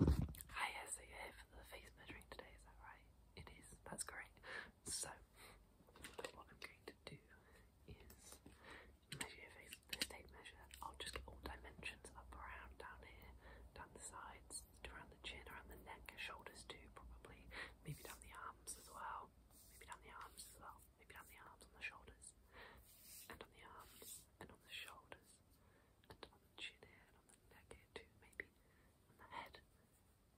Hi, yes, so you're here for the face measuring today, is that right? It is, that's great. So, what I'm going to do is measure your face with this tape measure. I'll just get all dimensions up, around, down here, down the sides, around the chin, around the neck, shoulders too, probably. Maybe down the arms as well. Maybe down the arms as well. Maybe down the arms on the shoulders. And on the arms, and on the shoulders, and on the chin here, on the here too, maybe on the head,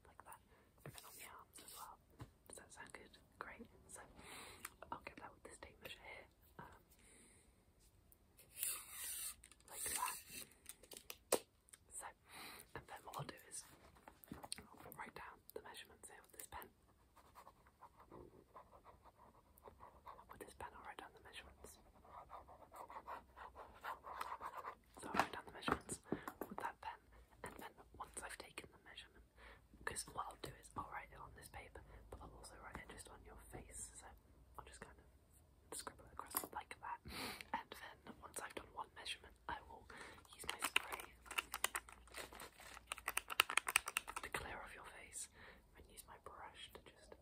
like that, and then on the arms as well. Does that sound good? Great. So I'll get that with this tape measure here, um, like that. So, and then what I'll do is write down the measurements here with this pen. With this pen, I'll write down the measurements. So I'll write down the measurements with that pen, and then once I've taken the measurement, because what I'll do is I'll write it on this paper, but I'll also write it just on your face. So I'll just kind of scribble it across like that, and then once I've done one measurement, I will use my spray to clear off your face, and use my brush to just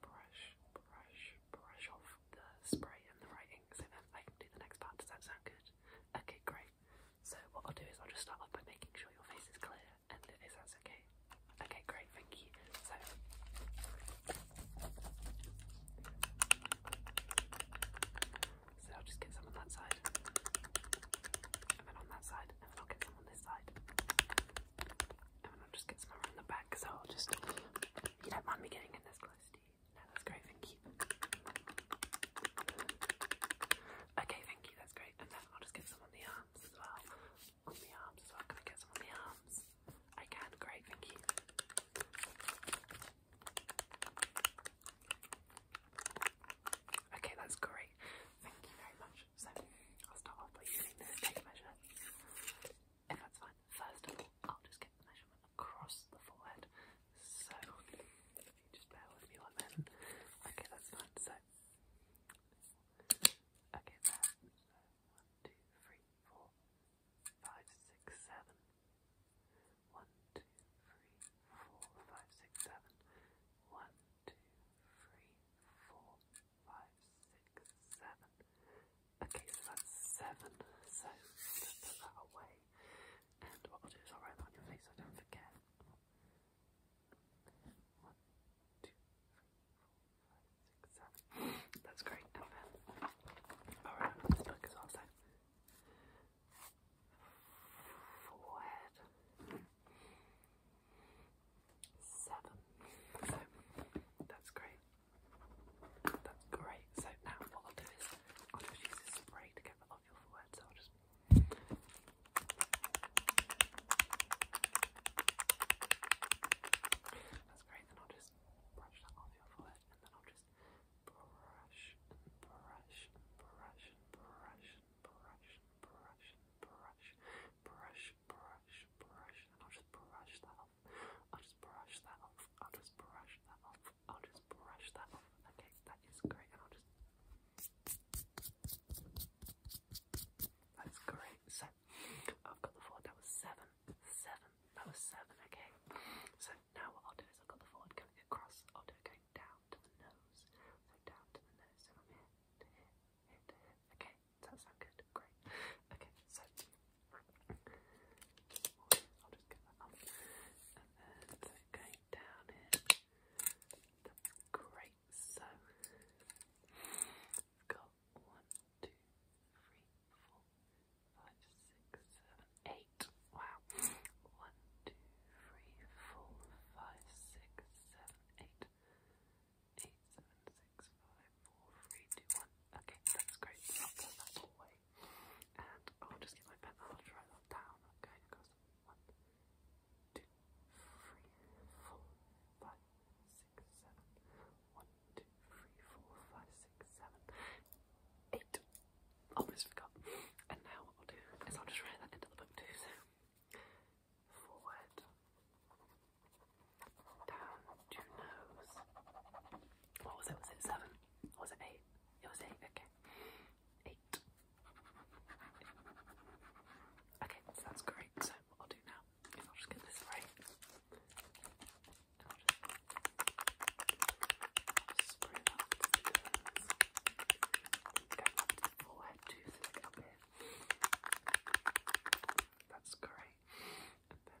brush, brush, brush off the spray and the writing so that I can do the next part. Does that sound good? Okay, great. So what I'll do is I'll just start off by making sure your face is clear and if that's okay. Okay, great, thank you. so I'll just get some on that side, and then on that side, and then I'll get some on this side, and then I'll just get some around the back back, I'll just. You don't mind me getting in this close, do you? No, that's great, thank you. Okay, thank you, that's great. And then I'll just get some on the arms as well. On the arms as well. Can I get some on the arms? I can, great, thank you. Okay, that's great. Thank you very much. So I'll start off by using this tape if that's fine, first of all, I'll just get the measurement across the forehead. So, just bear with me one Okay, that's fine. So, okay, there. So, one, two, three, four, five, six, seven. One, two, three, four, five, six, seven. One, two, three, four, five, six, seven. Okay, so that's seven. So put that away. And what I'll do is I'll write on your face so I don't forget. One, two, three, four, five, six, seven. That's great. Alright, this book is also forehead. Seven. So that's great. That's great. So now what I'll do is I'll just use this spray to get rid of your forehead. So I'll just. That's great. Then I'll just brush that off your forehead, and then I'll just brush brush brush brush brush brush brush brush brush, brush, and I'll just brush that off. I'll just brush that off. I'll just brush that off. I'll just brush that off. Okay, that is great. And I'll just. That's great. So I've got the four. That was seven. Seven. That was seven. Okay. So now what I'll do is I've got the four. Going across. I'll do it going down to the nose. So down to the nose. So from here to here, here to here. Okay. Does that sound good? Great. Okay, so I'll just get that up. And then going down here. great. So got one, two, three, four, five, six, seven, eight. Wow eight, seven, six, five, four, three, two, one. Okay, that's great. I'll put that away. And I'll just get my pen and I'll write that down. Okay, because one, two, three, four, five, six, seven. One, two, three, four, five, six, seven, eight. Almost forgot. And now what I'll do is I'll just write that into the book too. forward down to nose. What was it? Was it seven? Or was it eight? It was eight, okay. Eight. Okay, so that's great. So what I'll do now is I'll just get this right. I'll just spray that up to the nose. Go up to the forehead too, so it's like up here. That's great. And then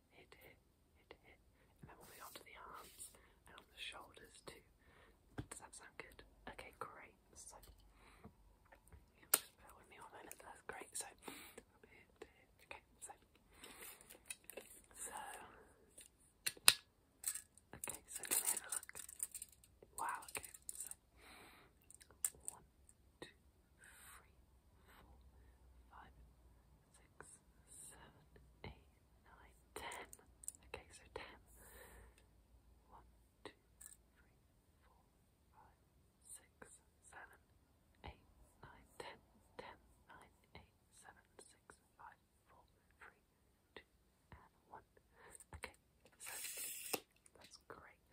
hit, hit, hit, hit, and then moving on to the arms and on the shoulders too. Does that sound good? Okay, great. So, you know, me one moment. great. So, hit, hit. okay. So, so, okay. So let me have a look. Wow. Okay. one, two, three, four, five, six, seven, eight, nine, ten. Okay, so ten. One, two, three, four, five, six, seven, eight, nine, ten, ten, nine, eight, seven, six, five, four, three, two, and one. Okay, so that's great.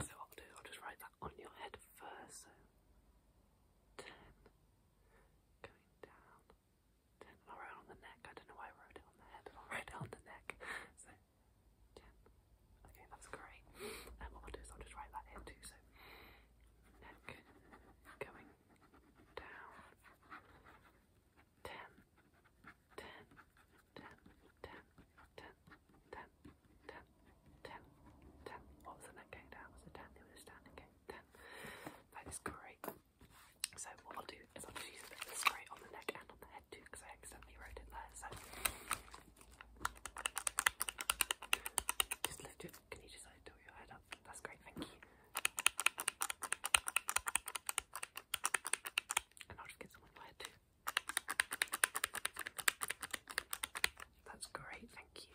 So I'll do, I'll just write that on your head first. So ten. Going down. Ten. I'll on the neck. I don't know why I wrote it on the head. I'll write on the neck. So, ten. Okay, that's great. And um, what I'll do is I'll just write that here too. So, neck going down. Ten. Ten. 10, What was the net going down? Was it 10? It was 10, 10. That is great. So what I'll do is I'll just use a bit on the neck and on the head too because I accidentally wrote it there. So just lift it. Can you just do your head up? That's great, thank you. And I'll just get someone my head too. That's great, thank you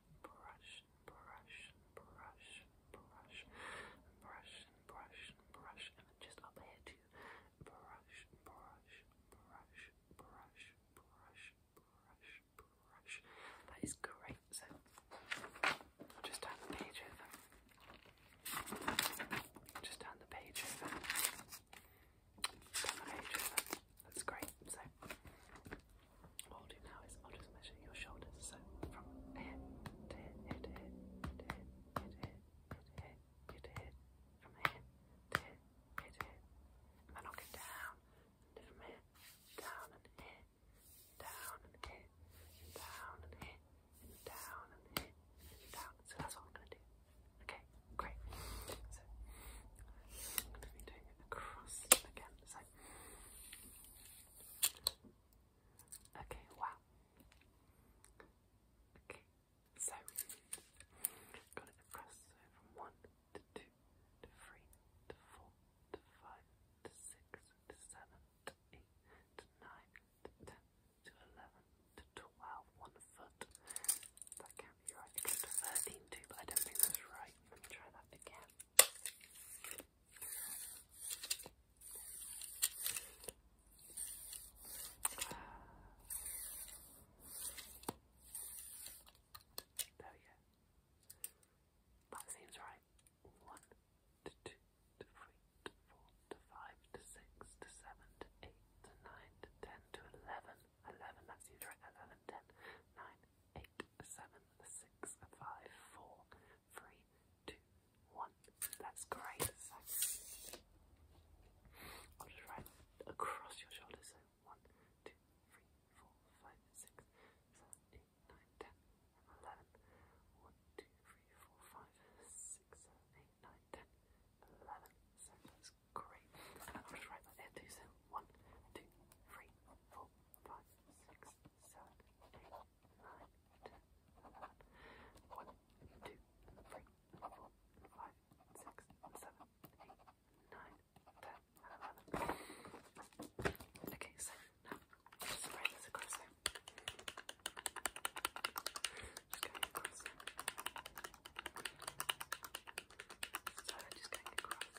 brush brush brush brush brush brush brush and then just up here too. Brush, brush, brush, brush, brush, brush, brush. That is great. So just turn the page Just turn the page Turn the page That's great. So all I'll do now is I'll just measure your shoulders. So from here to here, here to here, to here, here to here, here from here to here, here to And I'll go down and from here, down and here, down and here, down and here, down and here, down. So that's what I'm gonna do. Okay, great. So I'm gonna be doing it across again. Okay, wow. Okay, so got it across so from one to two to three to four to five to six to seven to eight to nine to ten to eleven to twelve. One foot. That can't be right. It but I don't think that's right. Let me try that again. There we go. That seems right. One to two to three to four to five to six to seven to eight to nine to ten to eleven. Eleven, that seems right. Eleven, ten, nine, eight seven six five four three two one. That's great. So I'll just write across your shoulders. So one, two, three, four, five, six, seven, eight, nine, ten, eleven. One, two, three, four, five, six, seven, eight, nine, ten, eleven. So that's great. And I'll just write that there too. So one, two, three, four, five, six, seven, eight, nine, ten, eleven, one, two, three, four, five, six, seven, eight, nine, ten, eleven. Okay, so just spray this across Just going across. So Just going across.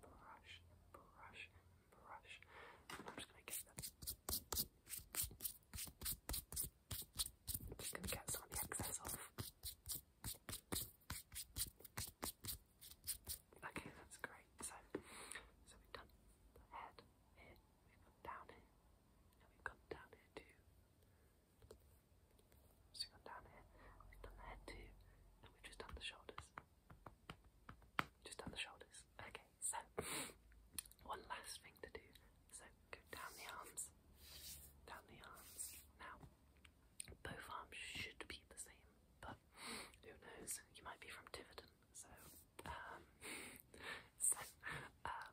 brush brush brush. I'm just gonna get some of the excess off. Okay, that's great. So, so we've done the head we've gone down here, and we've gone down here too. we've gone down here, we've done the head too, and we've just done the shoulders. Just down the shoulders. Okay, so one last thing to do. So go down the arms, down the arms. Now, both arms should be the same, but who knows? You might be from Tiverton, so um, so um,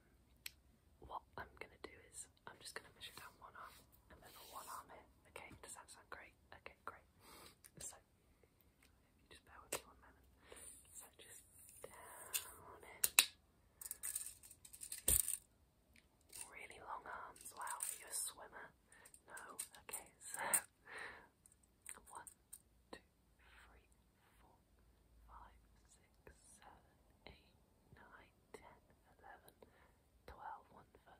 what I'm gonna do is I'm just gonna measure down one arm and then the one arm here. Okay, does that sound great? Okay, great. So if you just bear with one moment. just down it. Really long arms. Wow, are a swimmer? No? Okay, so one, two, three, four, five, six, seven, eight, nine, ten, eleven, twelve, one foot.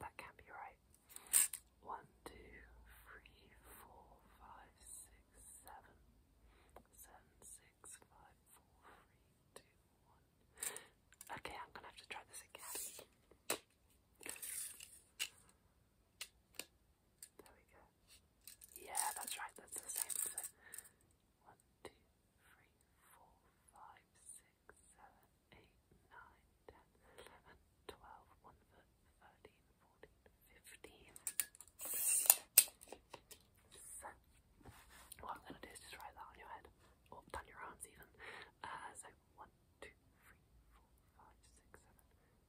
That can't be right. One, two, three, four, five, six, seven. Okay, I'm gonna have to try this again. There we go. Yeah, that's right, that's the same. So, one, two, three, four, five, six seven, eight, nine, ten, eleven, twelve, one, thirteen, fourteen, fifteen. So, what I'm going to do is just write that on your head, or down your arms even. Uh, so, one, two, three, four, five, six,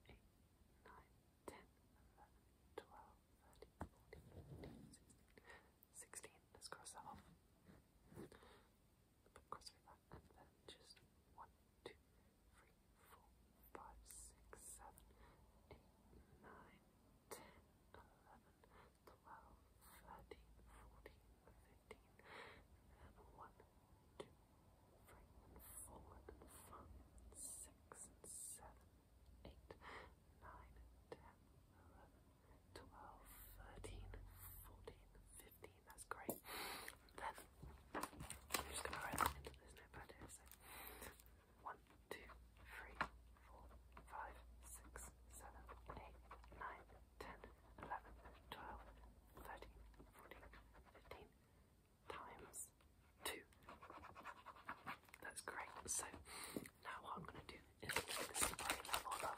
seven, eight, nine, ten, eleven, twelve, thirteen, fourteen, fifteen, sixteen. let's cross that off. But cross with and then just one, two, three, four, five, six, seven, eight, nine, ten, eleven, twelve, thirteen, fourteen, fifteen, and then and five, six, and seven, eight, nine, ten, eleven, twelve, thirteen, fourteen, fifteen that's great. Then I'm just gonna write into this notepad So one, two, three, four, five, six, seven, eight, nine, ten, eleven, twelve, thirteen, fourteen, fifteen times two. That's great. So now what I'm gonna do is this is the level of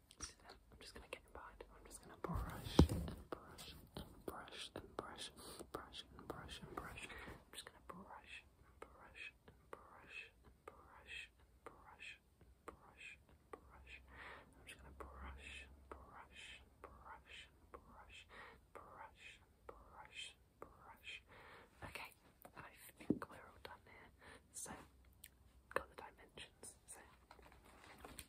So then I'm just gonna get behind it. I'm just gonna brush and brush and brush and brush, brush and brush and brush. I'm just gonna brush and brush and brush and brush and brush and brush and brush. I'm just gonna brush and brush and brush and brush brush and brush and brush. Okay, and I think we're all done here. So got the dimensions, so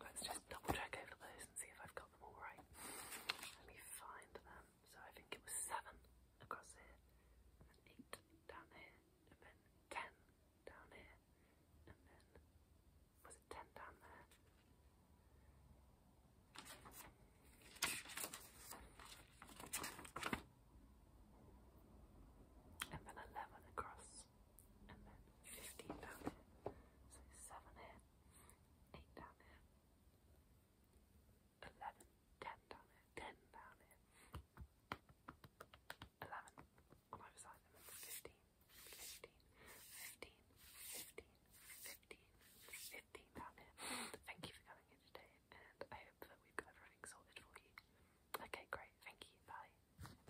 let's just double check over those and see if I've got them all right. Let me find them. So I think it was seven across here, and eight down here, and then ten down here, and then was it ten down there? And then eleven across. 15 down here. So 7 here, 8 down here, 11, 10 down here, 10 down here, 11 on either side, 15, 15, 15, 15, 15, 15 down here. Thank you for coming in today, and I hope that we've got everything sorted for you. Okay, great, thank you, bye.